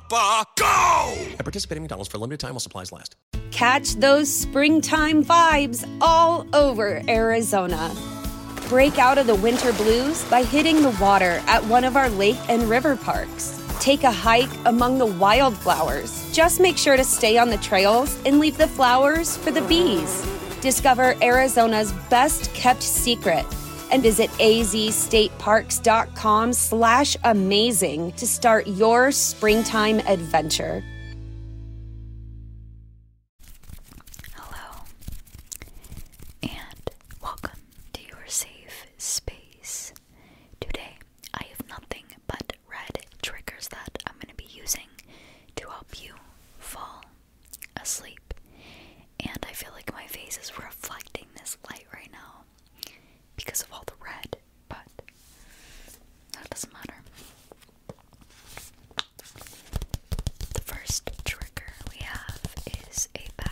Papa, go! participate in McDonald's for limited time while supplies last. Catch those springtime vibes all over Arizona. Break out of the winter blues by hitting the water at one of our lake and river parks. Take a hike among the wildflowers. Just make sure to stay on the trails and leave the flowers for the bees. Discover Arizona's best kept secret and visit azstateparks.com Indeed.com slash amazing to start your springtime adventure. Hello, and welcome to your safe space. Today, I have nothing but red triggers that I'm going to be using to help you fall asleep. And I feel like my face is reflecting this light right now because of all the red, but that doesn't matter. The first trigger we have is a bag.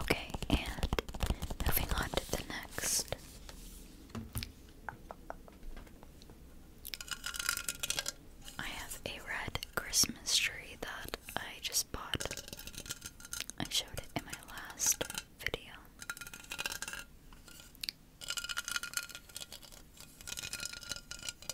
Okay, and moving on to the next. I have a red Christmas tree that I just bought. I showed it in my last video.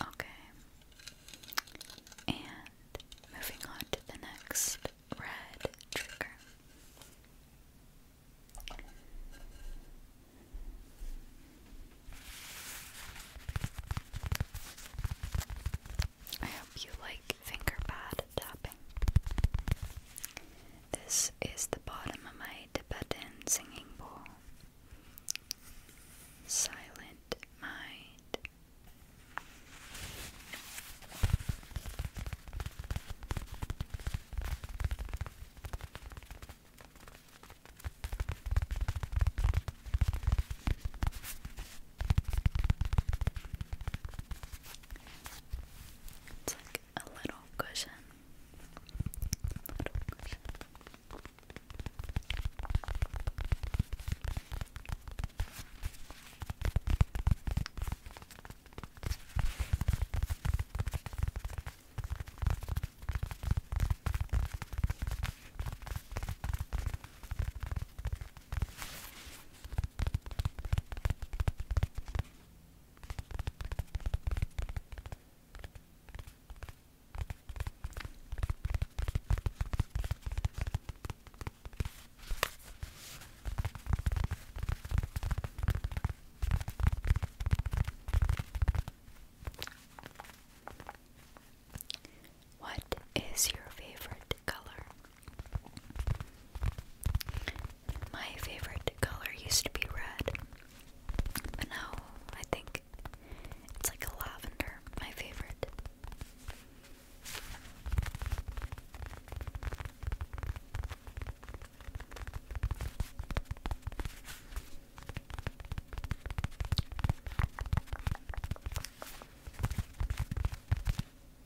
Okay. And moving on to the next red trigger. I hope you like finger pad tapping. This is the bottom of my Tibetan singing bowl. Silent mind. It's like a little cushion. What is your favorite color? My favorite color used to be red, but now I think it's like a lavender, my favorite.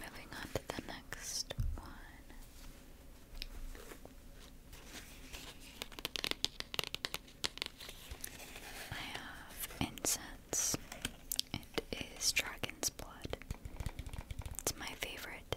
Moving on to the next one. I have incense. It is dragon's blood. It's my favorite.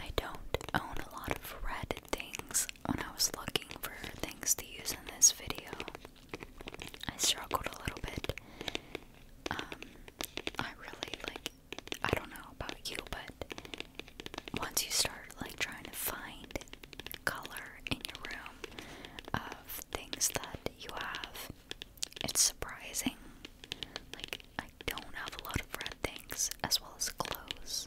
I don't own a lot of red things when I was looking for things to use in this video. I struggled a little bit um, I really like. I don't know about you, but once you start like trying to find color in your room of things that you have, it's surprising. Like I don't have a lot of red things as well as clothes.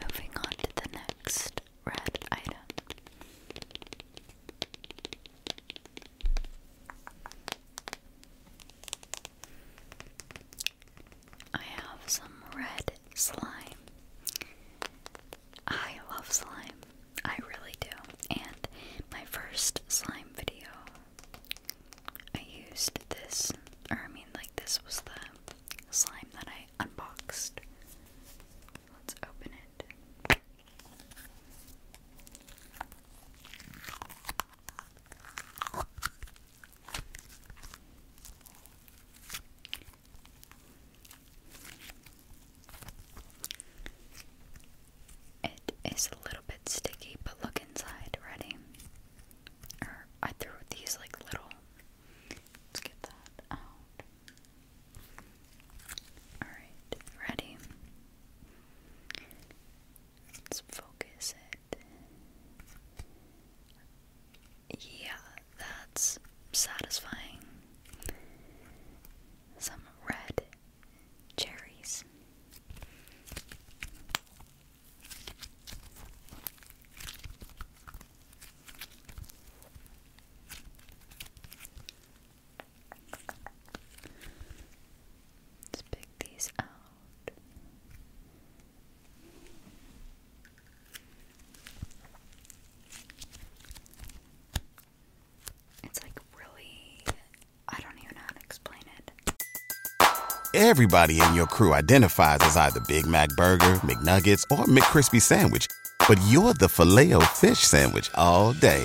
Moving on to the next red item. I have some red slime. I love slime. I really do. And my first slime video, I used this, or I mean, like, this was the slime that I unboxed. Let's open it. It is a little bit sticky, but look inside. Ready? I threw these like little. Let's get that out. Alright, ready? Let's focus it. Yeah, that's satisfying. Some red cherries. Let's pick these out. It's like really, I don't even know how to explain it. Everybody in your crew identifies as either Big Mac Burger, McNuggets, or McCrispy Sandwich, but you're the Filet-O-Fish Sandwich all day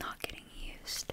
not getting used.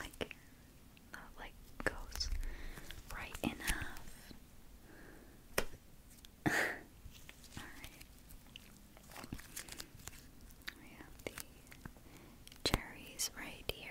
Like, not like goes right enough. Alright. We have the cherries right here.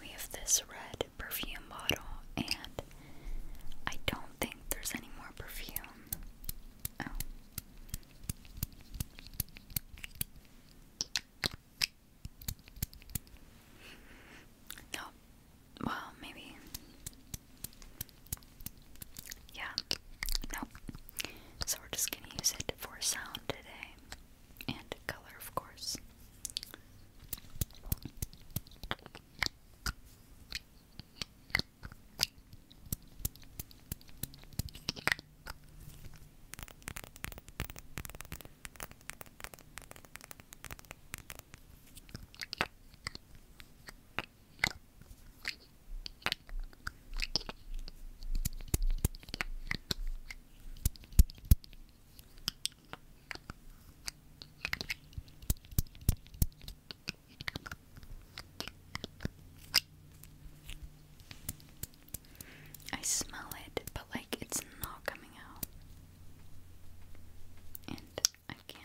We have this red perfume bottle, and I don't think there's any more perfume. No. Oh. Oh, well, maybe. Yeah. Nope. So we're just gonna use it for sound today and color, of course. I smell it, but like it's not coming out. And I can't,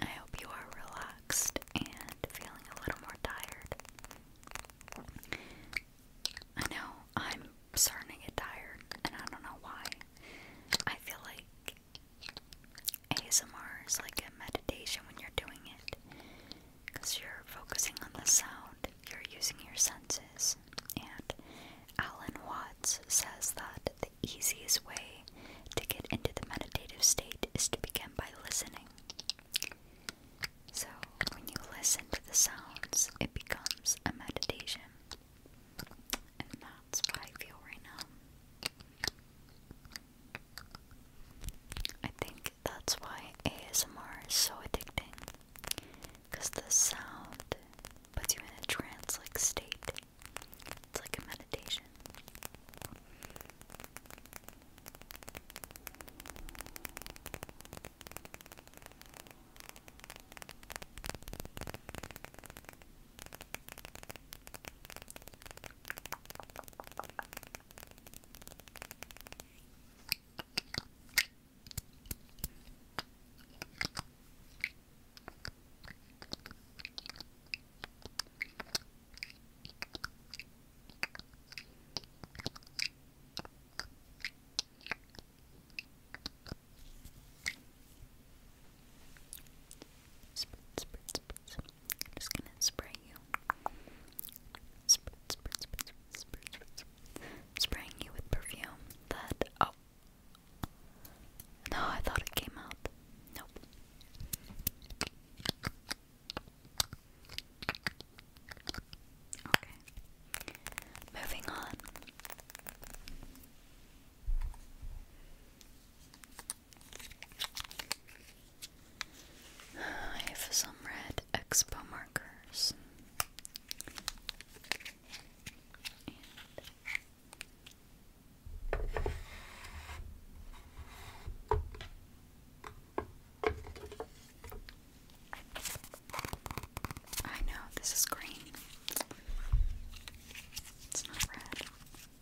I hope you are relaxed and feeling a little more tired. I know I'm starting to get tired, and I don't know why. I feel like ASMR is like a meditation when you're doing it because you're focusing on the sound, you're using your senses. And Alan Watts says that the easiest way to get into the meditative state is to begin by listening. So, when you listen to the sounds, it becomes a meditation. And that's what I feel right now. I think that's why ASMR is so addicting. Because the sound puts you in a trance like state. It's like a meditation. Spritz, spritz, spritz. I'm just gonna spray you. Spray, spray, spray, spray, spray, spray. Spraying you with perfume Oh. No, I thought it came out. Nope. Okay. Moving on. I have some red expo markers. I know this is green. It's not red.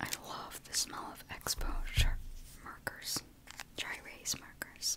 I love the smell of exposure markers, dry erase markers.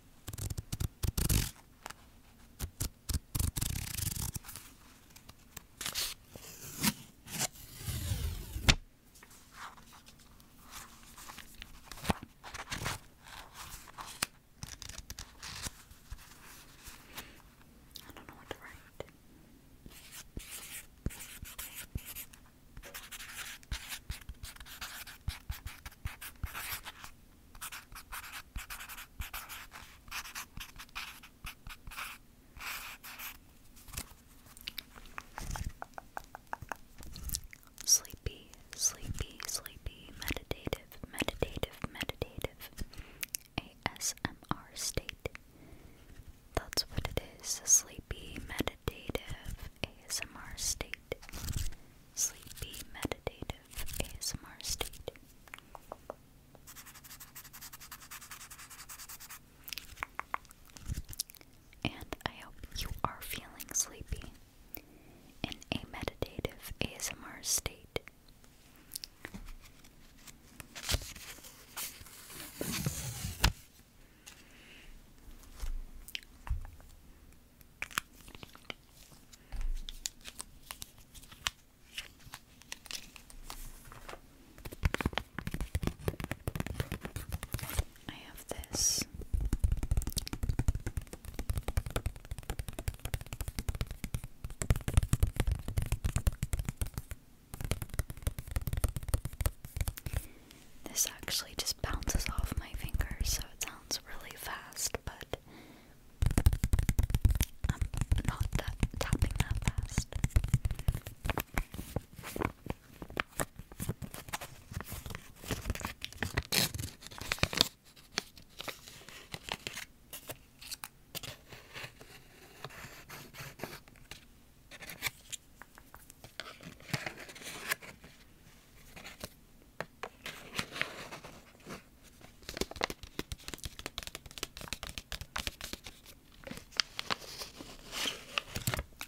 I don't know what to write. Sleepy, sleepy, sleepy, meditative, meditative, meditative. ASMR state. That's what it is. Sleepy, meditative, ASMR state sleepy, meditative ASMR state. And I hope you are feeling sleepy in a meditative ASMR state. I have this. This actually just bounces off my fingers, so it sounds really fast, but I'm not tapping that fast.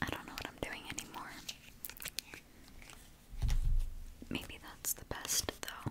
I don't know what I'm doing anymore. Maybe that's the best, though.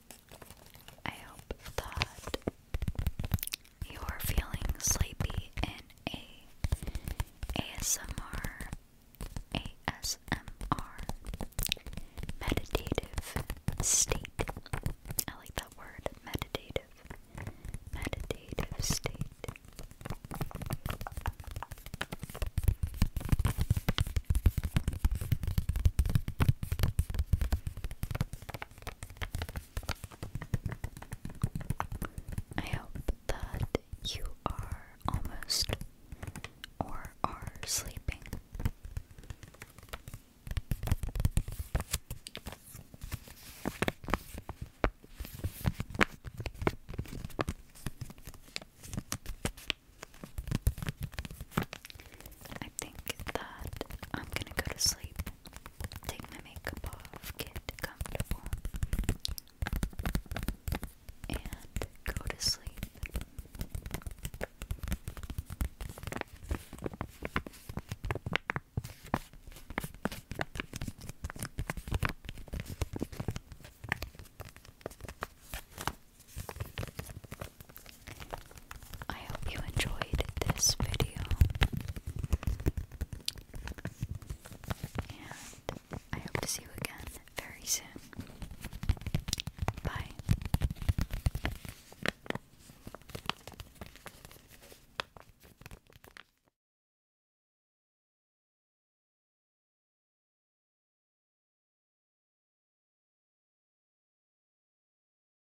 I hope that you're feeling sleepy in a ASMR ASMR meditative state. I like that word, meditative. Meditative state. I hope that you are almost or are sleeping. I think that I'm gonna go to sleep, take my makeup off, get comfortable, and go to sleep. I hope you enjoyed this video. And I hope to see you again very soon. Bye.